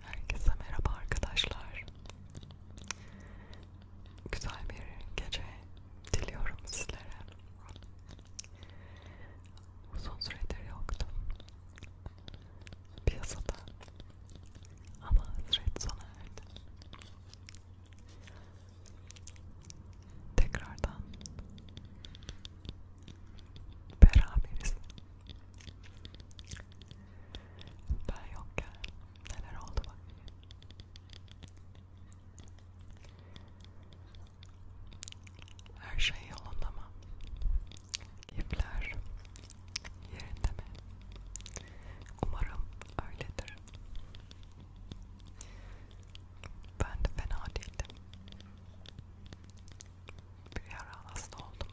Herkese merhaba arkadaşlar. Güzel bir gece diliyorum sizlere. Uzun süredir yoktum piyasada ama hasret sona erdi. Tekrardan beraberiz. Ben yokken neler oldu bak. Her şey yolunda mı? Keyifler yerinde mi? Umarım öyledir. Ben de fena değildim bir ara hasta oldum.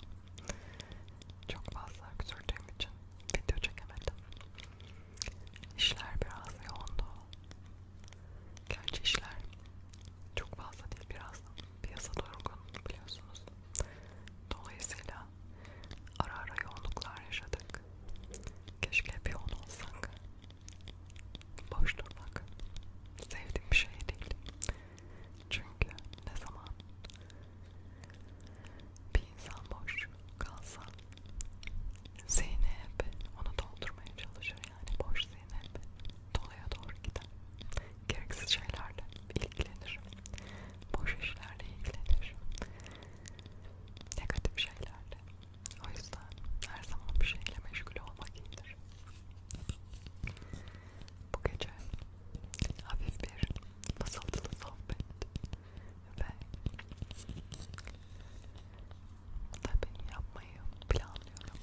Çok fazla öksürdüğüm için video çekemedim. İşler biraz yoğundu. Gerçi işler çok fazla değil biraz piyasa durgun biliyorsunuz. Dolayısıyla ara ara yoğunluklar yaşadık. Keşke hep yoğun olsak. Boş durmak sevdiğim bir şey değil. Çünkü ne zaman bir insan boş kalsa zihni hep onu doldurmaya çalışır yani boş zihni hep doluya doğru gider. Gereksiz şeylerle ilgilenir. Boş işlerle ilgilenir. Negatif şeylerle. O yüzden her zaman bir şeyle meşgul olmak iyidir bu gece hafif bir basıltılı sohbet ve tabii yapmayı planlıyorum.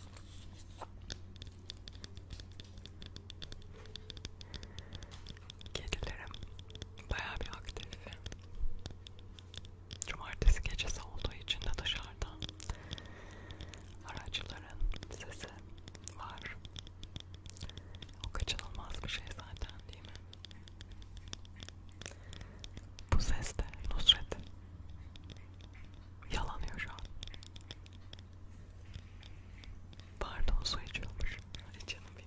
Kedilerim bayağı bir aktif. Cumartesi gecesi olduğu için de dışarıda araçların sesi etkisi var. O kaçınılmaz bir şey zaten değil mi? Bu ses de Nusret yalanıyor şu an. Pardon su içiyormuş. Hadi canım benim.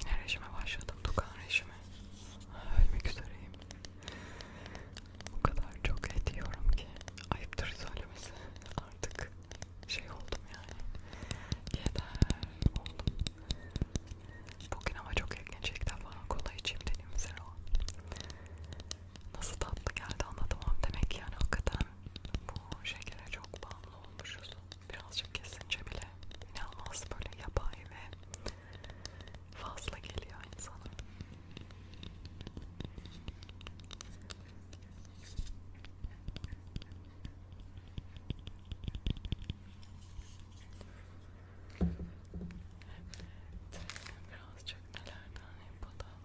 Yine rejime başladım. Tukan rejimi. Ölmek üzereyim. O kadar çok et yiyorum ki. Ayıptır söylemesi. Artık şey oldum yani. Yeter oldum. Bugün ama çok ilginç ilk defa kola içeyim dediğim üzere şey o. Nasıl tatlı geldi anlatamam. Demek yani hakikaten bu şekere çok bağımlı olmuşuz birazcık kesince bile inanılmaz böyle yapay ve fazla geliyor insana. Evet, birazcık nelerden yapalım.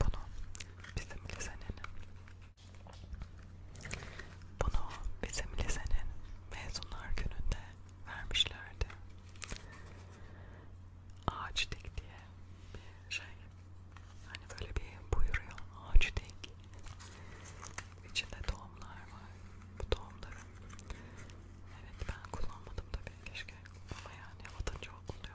bunu bizim lisenin bunu bizim lisenin mezunlar gününde vermişlerdi. Ağaç dik diye bir şey. Hani böyle bir buyuruyor ağaç dik. İçinde tohumlar var. Bu tohumları. Evet ben kullanmadım tabii keşke. Ama yani atınca oluyor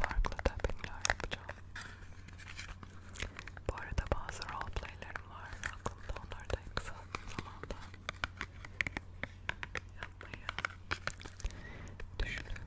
Farklı tappingler yapacağım. Bu arada bazı roleplaylerim var aklımda onları da kısa zamanda yapmayı düşünüyorum.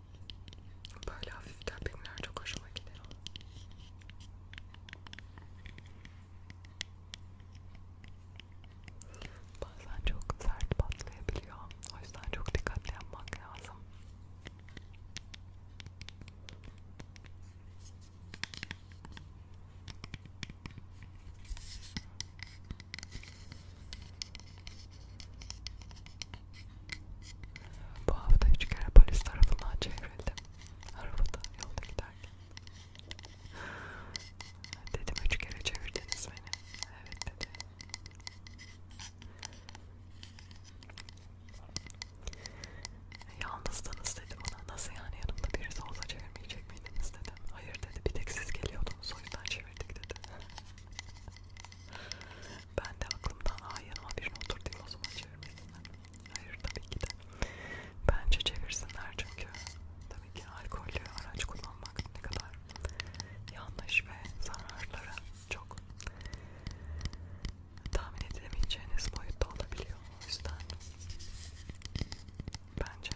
Böyle hafif tappingler çok hoşuma gidiyor. Bazen çok sert patlayabiliyor. O yüzden çok dikkatli yapmak lazım. Bu hafta üç kere polis tarafından çevrildim. Arabada yolda giderken. Dedim üç kere çevirdiniz beni. Evet dedi. Yalnızdınız dedi bana. Nasıl yani yanımda birisi olsa çevirmeyecek miydiniz dedim. Hayır dedi. Bir tek siz geliyordunuz o yüzden çevirdik dedi. Ben de aklımdan ay yanıma birini oturtayım o zaman çevirmesinler. Hayır tabii ki de. Bence çevirsinler çünkü tabii ki alkollü araç kullanmak ne kadar yanlış ve zararları çok tahmin edilemeyeceğiniz boyutta olabiliyor. O yüzden bence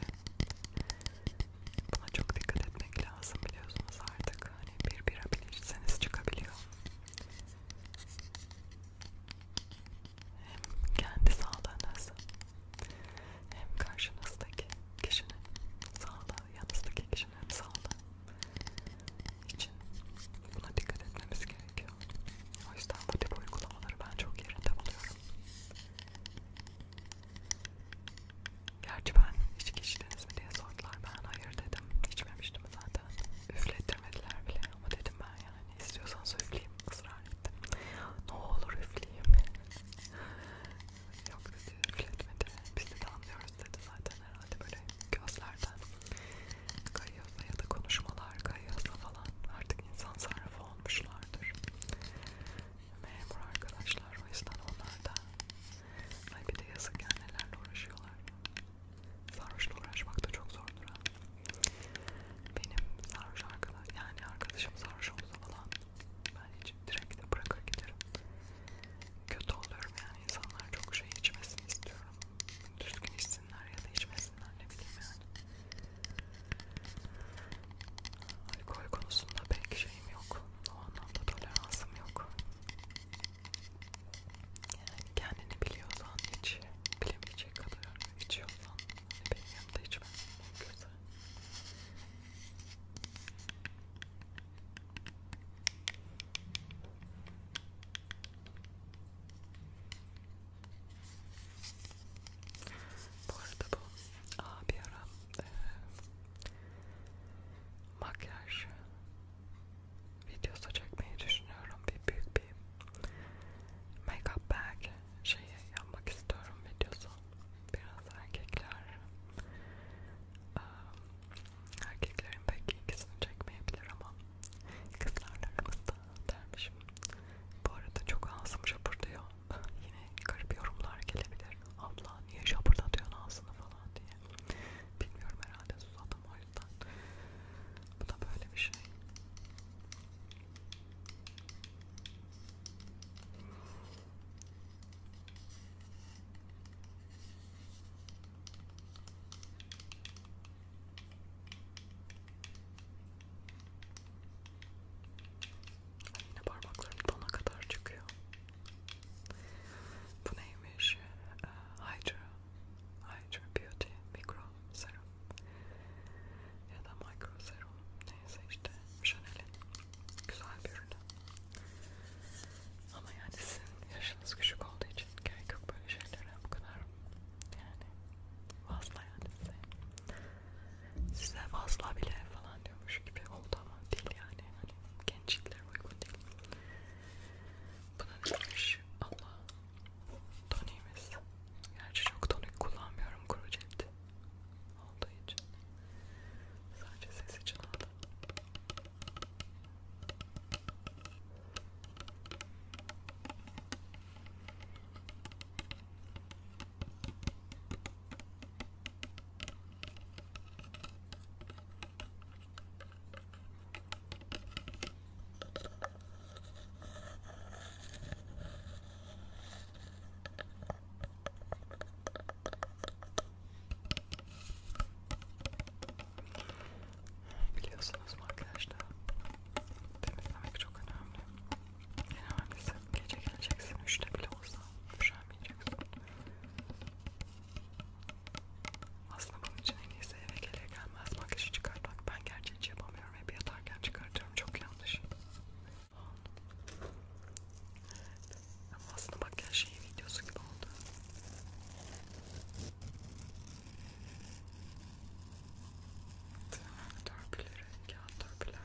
buna çok dikkat etmek lazım biliyorsunuz artık. Yani bir bira bile içseniz çıkabiliyor. Hem kendi sağlığınız hem karşınızdaki kişinin sağlığı, yanınızdaki kişinin sağlığı için buna dikkat etmemiz gerekiyor. O yüzden bu tip uygulamaları ben çok yerinde buluyorum. Gerçi ben içki içtiniz mi diye sordular. Ben hayır dedim. İçmemiştim zaten. Üflettirmediler bile ama dedim ben yani istiyorsanız üfleyeyim ısrar ettim. Ne olur üfleyeyim. Yok dedi üfletmedi. Biz de anlıyoruz dedi zaten herhalde böyle gözlerden kayıyorsa ya da konuşmalar kayıyorsa falan artık insan sarrafı olmuşlardır. Memur arkadaşlar o yüzden onlar da Ay bir de yazık ya nelerle uğraşıyorlar. Sarhoşla uğraşmak da çok zordur ha. Benim sarhoş arkadaş, yani arkadaşım sarhoş olsa falan ben hiç direkt de bırakır giderim. Kötü oluyorum yani insanlar çok şey içmesini istiyorum. Düzgün içsinler ya da içmesinler ne bileyim yani. Alkol konusunda pek şeyim yok o anlamda toleransım yok. Yani kendini biliyorsan hiç bilemeyecek kadar içiyorsan hani benim yanımda içmem mümkünse. Bu arada bu aa, bir ara e, makyaj videosu çekmeyi düşünüyorum. Bir büyük bir make-up bag şeyi yapmak istiyorum videosu. Biraz erkekler erkeklerin pek ikisini çekmeyebilir ama kızlarla aramızda dermişim. Bu arada çok ağzım şapırdıyor. Yine garip yorumlar gelebilir. Abla aa niye şapırdatıyorsun ağzını falan diye. Bilmiyorum herhalde susadım o yüzden. Bu da böyle bir şey. Yine parmaklarım dona kadar çıkıyor. Bu neymiş? Ee, hydro, Hydro Beauty Micro Serum ya da Micro Serum neyse işte Chanel'in güzel bir ürünü. Ama yani sizin yaşınız küçük olduğu için gerek yok böyle şeylere bu kadar yani fazla yani size size fazla bile falan diyormuş gibi oldu ama değil yani hani gençlikler uygun değil. Buna demiş Allah toniğimiz. Gerçi çok tonik kullanmıyorum kuru cepti olduğu için. Sadece ses için aldım. Biliyorsunuz mu arkadaşlar temizlemek çok önemli. En önemlisi gece geleceksin üçte bile olsa, yaşamayacaksın. Aslında bunun için en iyisi eve gelir gelmez makyajı çıkartmak. Ben gerçi hiç yapamıyorum. Hep yatarken çıkartıyorum. Çok yanlış. Ama aslında bak ya şey videosu gibi oldu. Törpüleri, kağıt törpüler.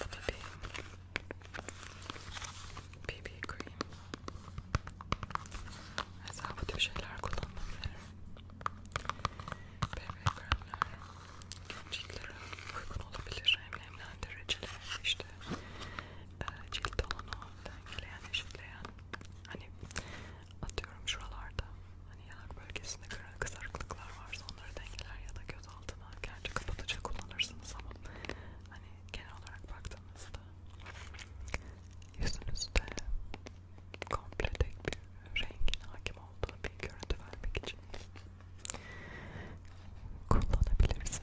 Bu da bir BB cream. Mesela bu tür şeyler kullanılabilir. BB kremler ciltlere uygun olabilir. Hem nemlendiriciler işte e, cilt tonunu dengeleyen, eşitleyen hani atıyorum şuralarda hani yanak bölgesinde kızarıklıklar varsa onları dengeler ya da göz altına gerçi kapatıcı kullanırsınız ama hani genel olarak baktığınızda yüzünüzde komple tek bir rengin hakim olduğu bir görüntü vermek için kullanabilirsiniz.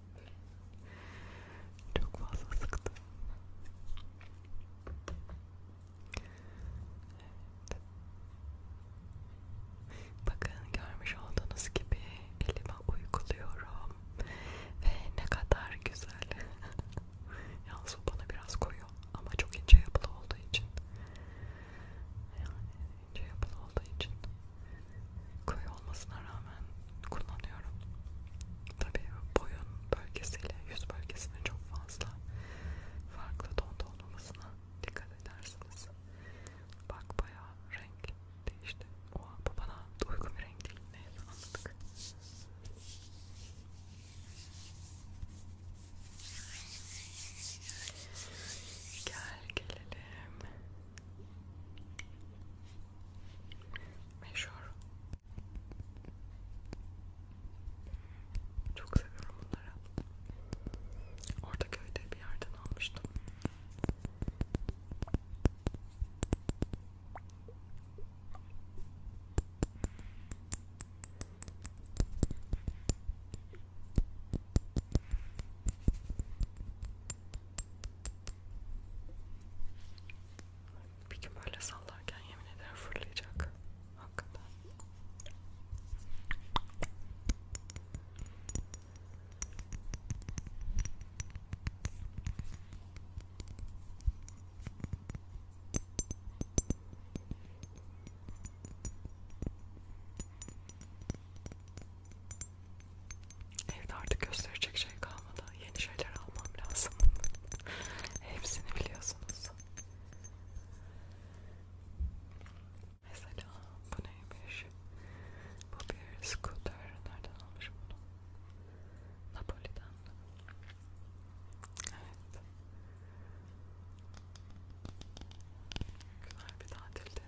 Çok fazla sıktım. Evet. Bakın görmüş olduğunuz gibi elime uyguluyorum ve ne kadar güzel. Yalnız o bana biraz koyu ama çok ince yapılı olduğu için yani ince şey yapılı olduğu için koyu olmasına rağmen kullanıyorum. Tabi boyun bölgesiyle yüz bölgesine çok fazla farklı tonda olmamasına dikkat edersiniz. Bak bayağı renk değişti. Oha bu bana uygun bir renk değil. Neyse anladık. Gel gelelim Meşhur. Çok seviyorum bunları. Orta köyde bir yerden almıştım. Bir gün böyle sallarken yemin ederim fırlayacak. Hakikaten. Evde artık gösterecek şey kalmadı. Yeni şeyler almam lazım. Hepsini biliyorsunuz. Mesela bu neymiş? Bu bir scooter. Nereden almışım bunu? Napoli'den. Evet. Güzel bir tatilde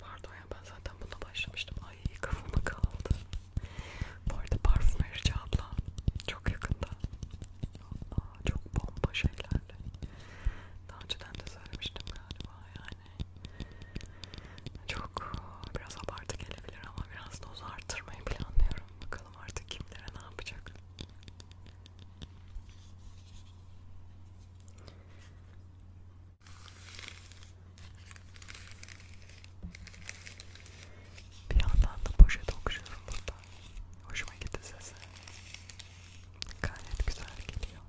Pardon ya ben zaten buna başlamıştım. Ay kafama kaldı. Bu arada parfümerici abla çok yakında. Aa, çok bomba şeylerle. Daha önceden de söylemiştim galiba yani. Çok biraz abartı gelebilir ama biraz doz artırmayı planlıyorum. Bakalım artık kimlere ne yapacak. Bir yandan da poşet okşuyorum burada. Hoşuma gitti sesi. Gayet güzel geliyor.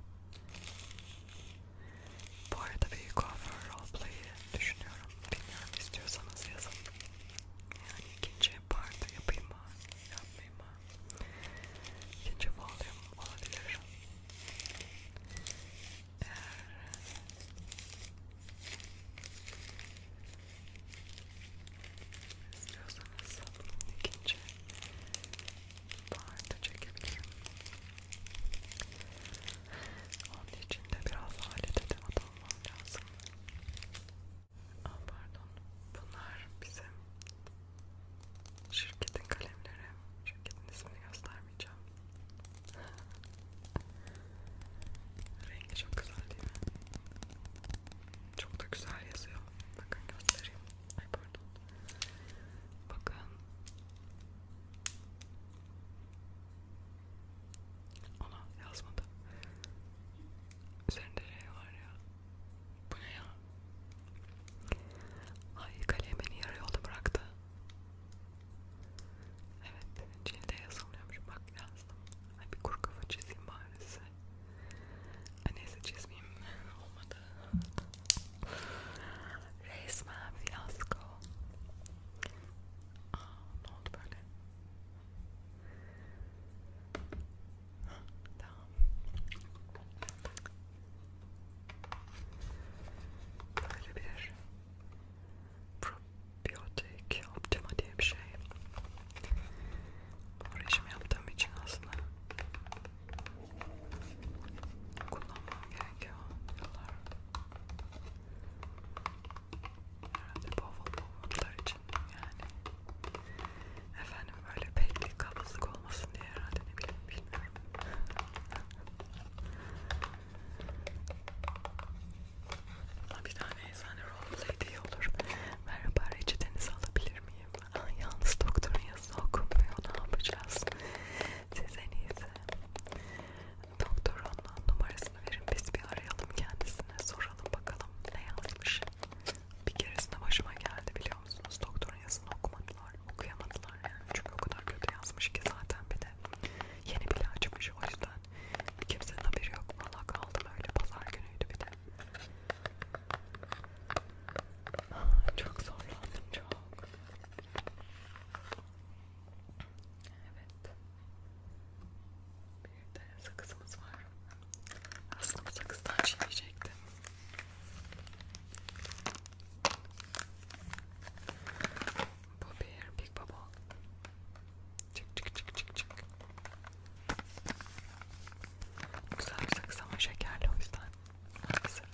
Bu arada bir kuaför roleplay'i düşünüyorum. Bilmiyorum istiyorsanız yazın. Yani ikinci parti yapayım mı? Yapmayayım mı? Gece bağlayım olabilir. Eğer istiyorsanız ikinci parça çekebilirim. Onun için de biraz alet edemat almam lazım. Aa, pardon. Bunlar bizim Şirketin kalemleri. Şirketin ismini göstermeyeceğim. Rengi çok güzel değil mi? Çok da güzel yazıyor. Bakın göstereyim. Ay pardon. Bakın. Ona yazmadı. Üzerinde şey var ya. Bu ne ya? Ay kalem beni yarı yolda bıraktı. Evet cilde yazılıyormuş bak yazdım. Ay bir kuru kafa çizeyim bari size. Ay neyse çizmeyeyim olmadı. Resmen fiyasko. Aa ne oldu böyle? Tamam. Böyle bir probiyotik optima diye bir şey. Bu rejim yaptığım için aslında kullanmam gerekiyor yıllar. Herhalde bavul bavullar için yani efendim böyle pek kabızlık olmasın diye herhalde ne bileyim bilmiyorum. Bir tane eczane roleplay diye olur. Merhaba reçetenizi alabilir miyim? Aa, ah, yalnız doktorun yazısı okunmuyor. Ne yapacağız? Siz en iyisi. Doktorun numarasını verin. Biz bir arayalım kendisine. Soralım bakalım ne yazmış. Bir keresinde başıma geldi biliyor musunuz? Doktorun yazını okumadılar, okuyamadılar yani. Çünkü o kadar kötü yazmış ki zaten bir de yeni bile açmış o yüzden kimsenin haberi yok. Valla kaldım öyle pazar günüydü bir de. Ah, çok zorlandım çok. Evet. Bir de sakızımız var. Aslında sakızdan şey çiğneyecektim. Bu bir Big Bubble. Çık çık çık çık çık. Güzel bir sakız ama şekerli o yüzden. Maalesef.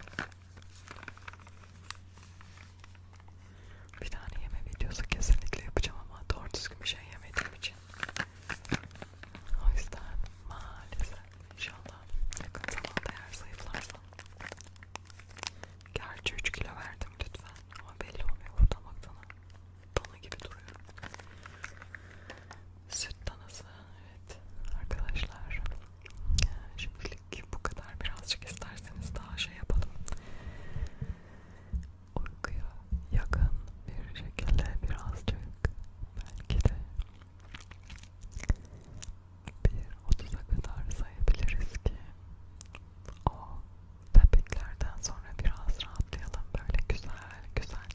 Bir tane yeme videosu kesinlikle yapacağım ama doğru düzgün bir şey yemediğim için o yüzden maalesef inşallah yakın zamanda eğer zayıflarsam Gerçi 3 kilo verdim lütfen ama belli olmuyor buradan baktığına dana gibi duruyor. Süt danası evet arkadaşlar e, şimdilik bu kadar birazcık isterseniz daha şey yapalım uykuya yakın bir şekilde birazcık belki de bir otuza kadar sayabiliriz ki o tepiklerden sonra biraz rahatlayalım böyle güzel güzel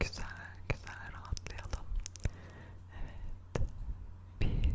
güzel güzel rahatlayalım evet bir iki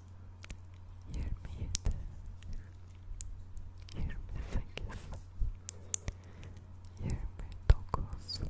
yirmi yedi yirmi sekiz yirmi dokuz otuz